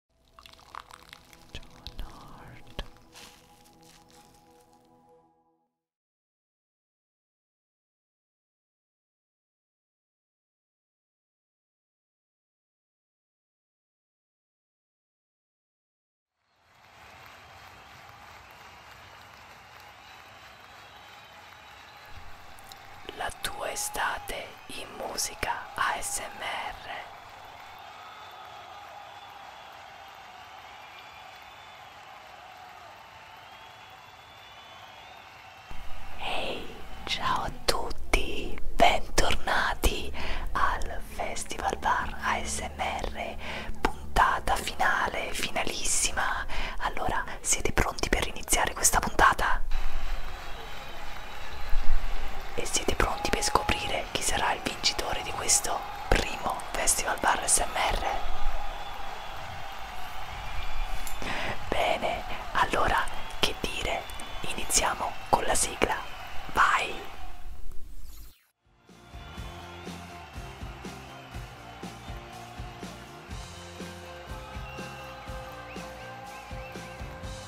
Nord. La tua estate in musica ASMR. Ehi, hey, ciao a tutti, bentornati al Festival Bar ASMR, puntata finale, finalissima. Allora, siete pronti per iniziare questa puntata? E siete pronti per scoprire chi sarà il vincitore di questo primo Festival Bar SMR? Bene, allora che dire? Iniziamo con la sigla. Vai!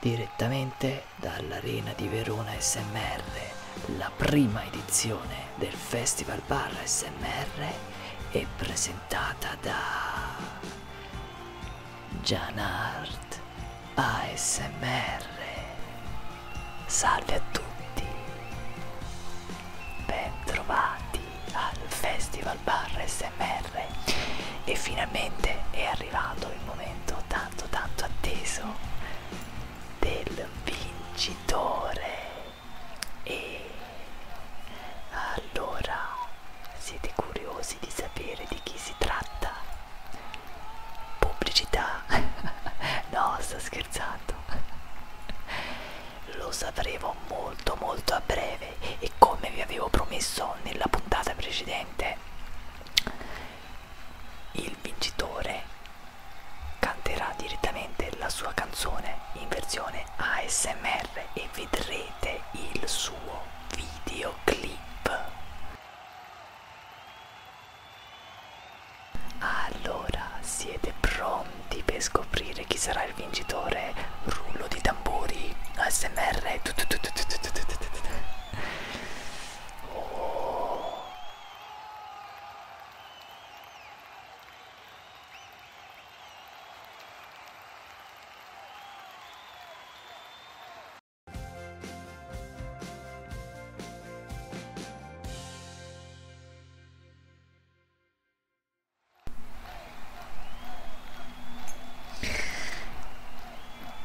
direttamente dall'Arena di Verona SMR, la prima edizione del Festival Bar SMR è presentata da Gianart ASMR Salve a tutti Bentrovati al Festival Bar SMR e finalmente è arrivato il momento tanto tanto atteso del vincitore e allora, siete curiosi di sapere di chi si tratta? Pubblicità? no, sto scherzando. Lo sapremo molto molto a breve e come vi avevo promesso nella puntata precedente, il vincitore canterà direttamente la sua canzone in versione ASMR e e vedrete il suo videoclip. Allora, siete pronti per scoprire chi sarà il vincitore? Rullo di tamburi, ASMR. Oh.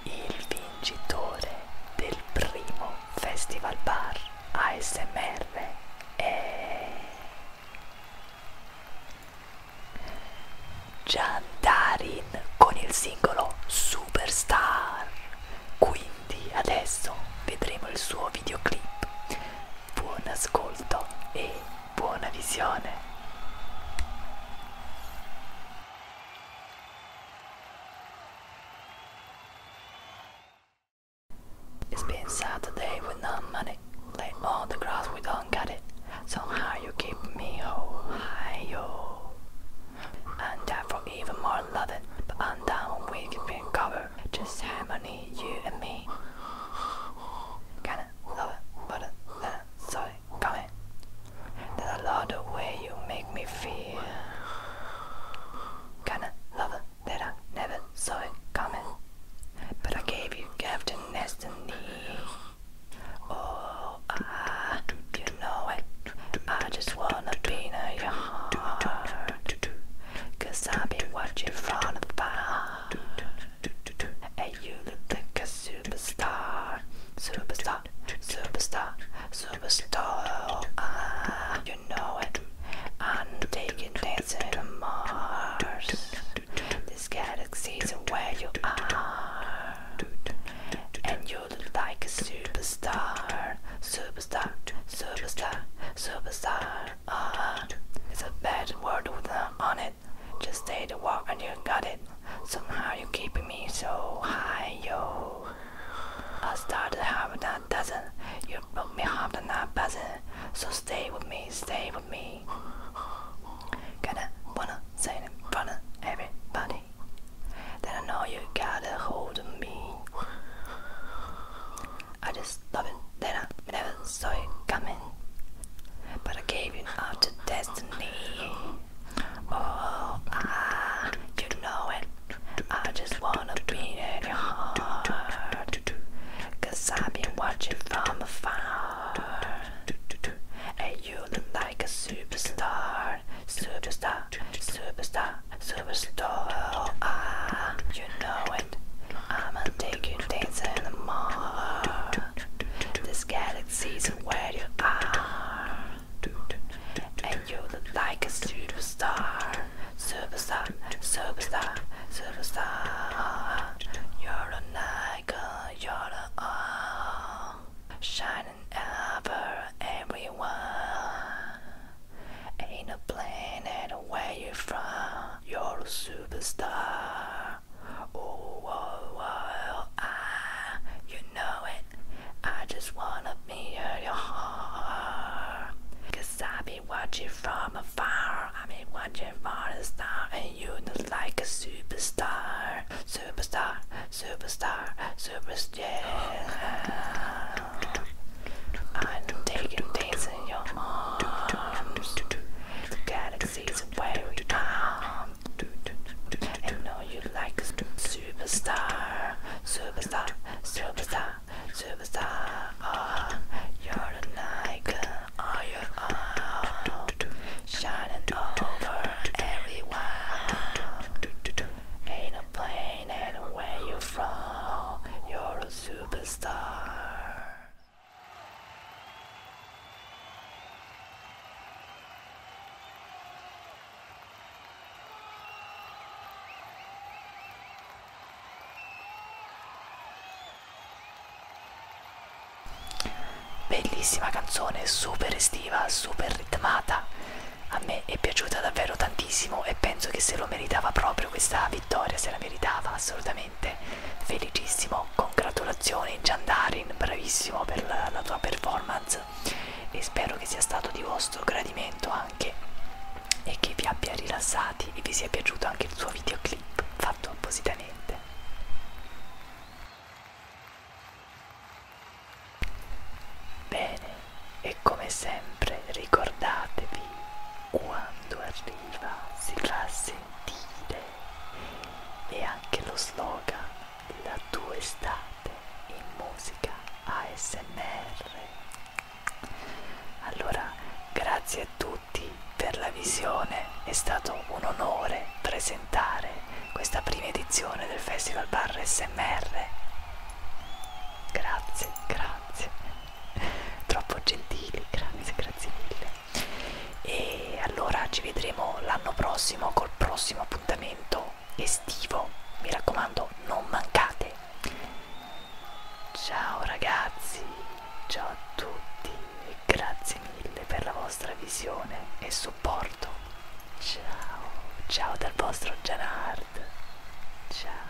Il vincitore del primo Festival Bar ASMR è Jandarin con il singolo Superstar. Quindi adesso vedremo il suo videoclip. Buon ascolto e buona visione. It's been Saturday with no money. Lay on the grass, we don't got it. Somehow you keep me Ohio. I'm down for even more loving, but I'm down when we be cover. Just harmony, you and me. Kinda love but uh, sorry, coming. That I love the way you make me feel. Kinda love that I never saw it coming. But I gave you Captain Destiny. Oh, I, ah, you know it. I just wanna be in your heart. Cause I've been watching from afar. And you look like a superstar. Superstar, superstar, superstar. Ah, you know it. I'm taking things to Mars. This galaxy is where you are. And you're like a superstar. Superstar, superstar, superstar. Uh, it's a bad word with an on it. Just say the word and you got it. Somehow you're keeping me so high, yo. I started having a dozen. You but me hard the night buzzing. So stay with me, stay with me. Gonna wanna say it in front of everybody. Then I know you got a hold of me. I just love it that I never saw it coming. But I gave you up to destiny. Oh, ah, you know it I just wanna be in your heart. Cause I've been watching from afar. And you look like a superstar. Superstar, superstar, superstar. Oh, ah, you know it. I'ma take you dancing in the mall. This galaxy's where you are. And you look like a superstar. Superstar, superstar, superstar. You're an icon, you're a all. Uh, shining ever, everyone. Ain't a planet where you're from. You're a superstar. Oh, oh, oh, ah, you know it. I just wanna me earlier. Cause I've been watching from afar. I've been watching for the star, and you look like a superstar. Superstar, superstar, superstar. I'm taking things in your arms. The galaxy's away from. And know you like a superstar. Superstar. Superstar, superstar, Oh, you're an icon. Oh, you are shining over everyone. Ain't a plane, And where you from. You're a superstar. Bellissima canzone, super estiva, super ritmata. A me è piaciuta davvero tantissimo e penso che se lo meritava proprio questa vittoria, se la meritava assolutamente. Felicissimo, congratulazioni Giandarin, bravissimo per la, la tua performance e spero che sia stato di vostro gradimento anche e che vi abbia rilassati e vi sia piaciuto anche il suo videoclip fatto appositamente bene e come sempre ricordatevi quando arriva si fa sentire e anche lo slogan la tua estate in musica ASMR. Allora, grazie a tutti per la visione, è stato un onore presentare questa prima edizione del Festival Bar ASMR. Grazie, grazie. Troppo gentili, grazie, grazie mille. E allora ci vedremo l'anno prossimo col prossimo appuntamento estivo mi raccomando non mancate ciao ragazzi ciao a tutti e grazie mille per la vostra visione e supporto ciao ciao dal vostro Janard ciao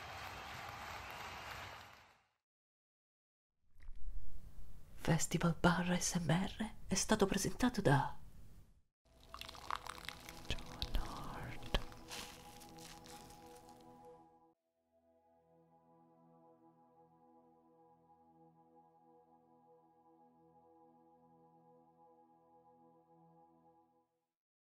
Festival Bar SMR è stato presentato da